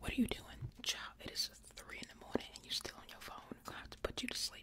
What are you doing? Child, it is 3 in the morning and you're still on your phone. I'm gonna have to put you to sleep.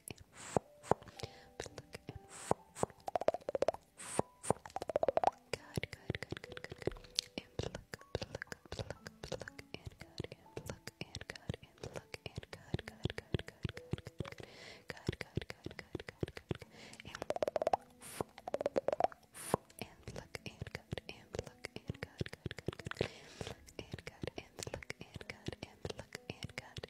pluck and pluck and good, good, good, good, good, good. And pluck, pluck, pluck, pluck, and good, and pluck, and good, and pluck, and good, good, good, good, good, good, good. Good, good, good, good, good, good. And and pluck and good and pluck and good good good good and pluck and good and pluck and good and pluck and good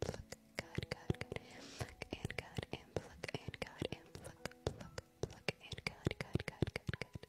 pluck, God, God, God, pluck and God, and pluck and God, and pluck, pluck, pluck and God, God, God, God, God.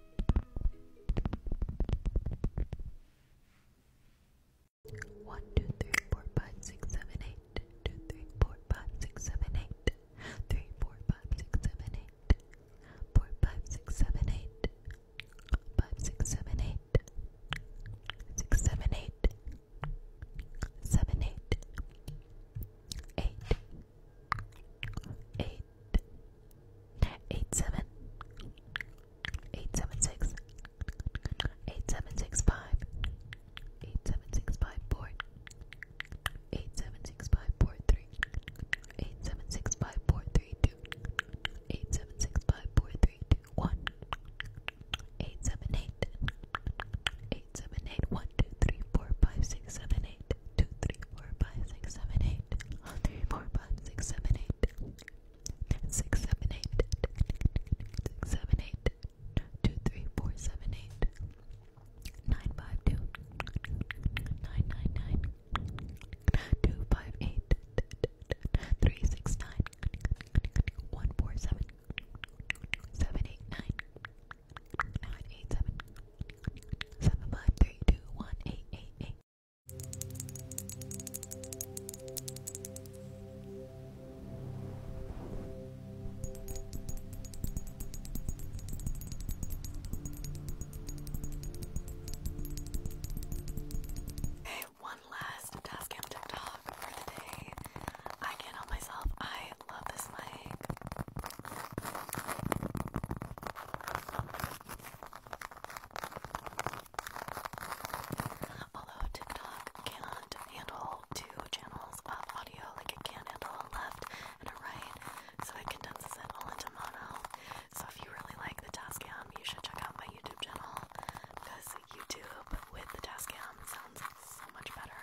One, two, three, four, five, six, seven, eight. Two, three, four, five, six, seven, eight. Three, four, five, six, seven, eight. Four, five, six, seven, eight. Five, six, seven, eight. Six, seven, eight. Seven, eight. Eight. Eight eight seven eight seven six eight seven six five eight seven six five four eight seven six five four three eight seven six five four three two eight seven six five four three two one eight seven eight eight seven eight one two three four five six seven seven, eight, two, three, four, five, six, seven, eight, one, three, four, five, six, seven, eight, six, seven, eight, six, seven, eight, two, three, four, seven, eight, nine, five, two, nine, nine, nine, two, five, eight, three, six, nine, one, four, seven, seven, eight, nine, nine, eight, seven seven five three two one eight eight eight. Okay, one last task and TikTok for the day. I can myself. I love this mic. Although TikTok can handle two channels of audio, like it can handle a left and a right, so it condenses it into mono. So if you really like the Tascam, you should check out my YouTube channel because YouTube with the Tascam sounds so much better.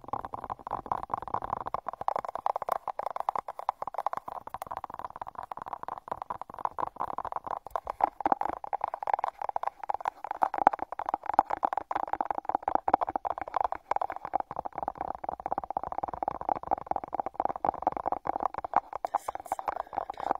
This sounds so good.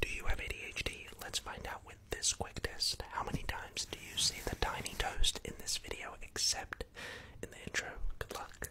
do you have ADHD? Let's find out with this quick test. How many times do you see the tiny toast in this video except in the intro? Good luck.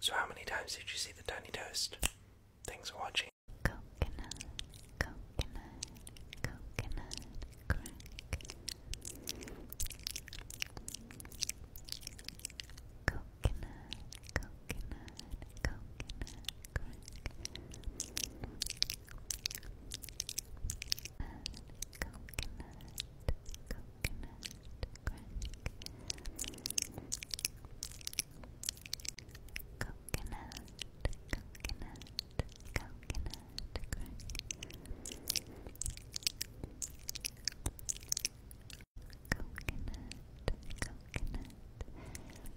So, how many times did you see the tiny toast? Thanks for watching. Coconut, coconut, coconut crack. Coconut, coconut, coconut crack. Coconut, coconut crunch coconut, coconut, coconut, coconut, coconut, coconut, coconut,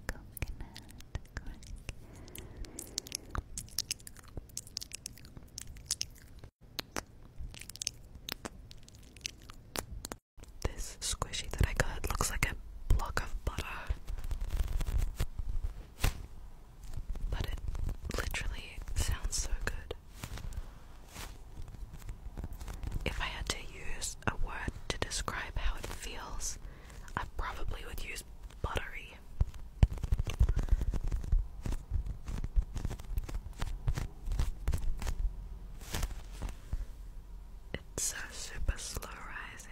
coconut this squishy that I got looks like a block of butter, but it literally sounds so good. If I had to use a word to describe how it feels, I probably would use buttery. It's so super slow rising.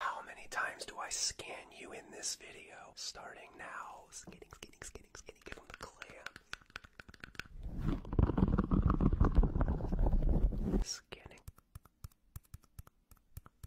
How many times do I scan you in this video? Starting now. Skinning, skinning, skinning, skinning. Give them the clams. Skinning.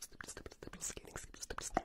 skating, skating, skating, skating.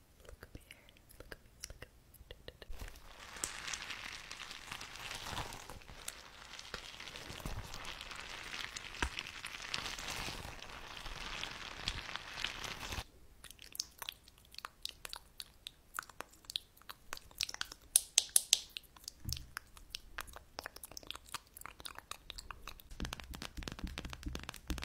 Look at me here. Look at me. Look at me. Da, da, da.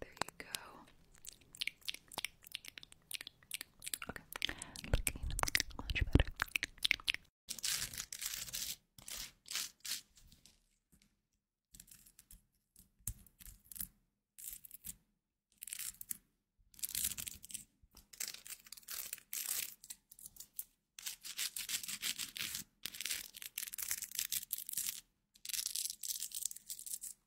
There you go. Okay, looking much better.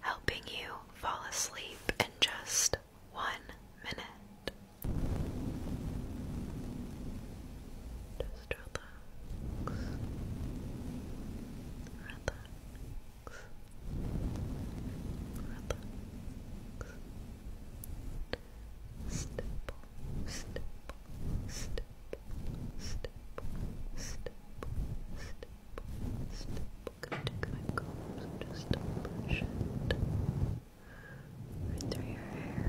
Helping you fall asleep in just one minute. Just relax relax, relax, relax. Step, step, step, step, step, step, step. going my combs just brush right through your hair.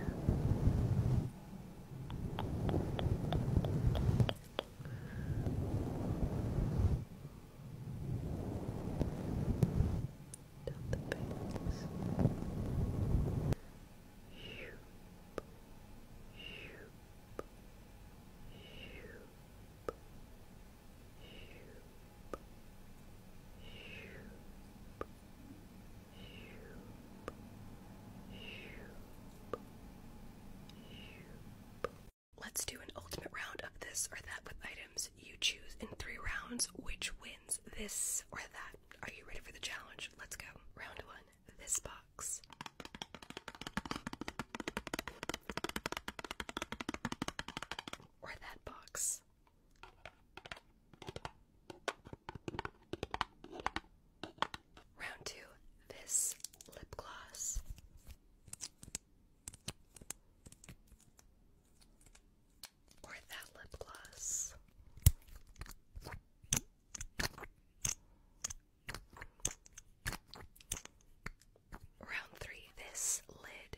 Down the face. Shoop. Shoop. Shoop. Shoop. Shoop. Shoop. Shoop. Let's do an ultimate round of this or that with items you choose in three rounds which wins this or that. Are you ready for the challenge? Let's go. Round one this box. Or that box. Round two, this lip gloss. Or that lip gloss. Round three, this lid.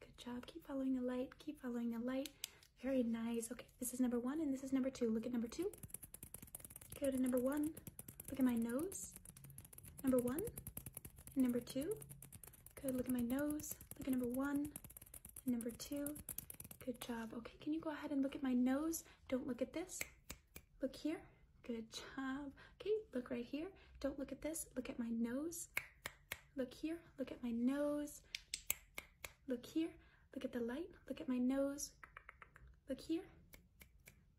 Good job. Keep following the light. Keep following the light. Very nice. Okay, this is number one and this is number two. Look at number two. Go to number one. Look at my nose. Number one. number two. Good. Look at my nose. Look at number one. number two. Good job. Okay, can you go ahead and look at my nose? Don't look at this. Look here. Good job. Okay, look right here. Don't look at this, look at my nose. Look here, look at my nose. Look here, look at the light, look at my nose. Look here,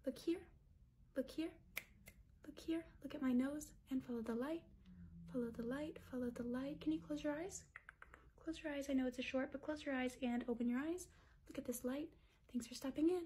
look here, look here, look here, look at my nose and follow the light, follow the light, follow the light. Can you close your eyes? Close your eyes, I know it's a short, but close your eyes and open your eyes. Look at this light. Thanks for stopping in.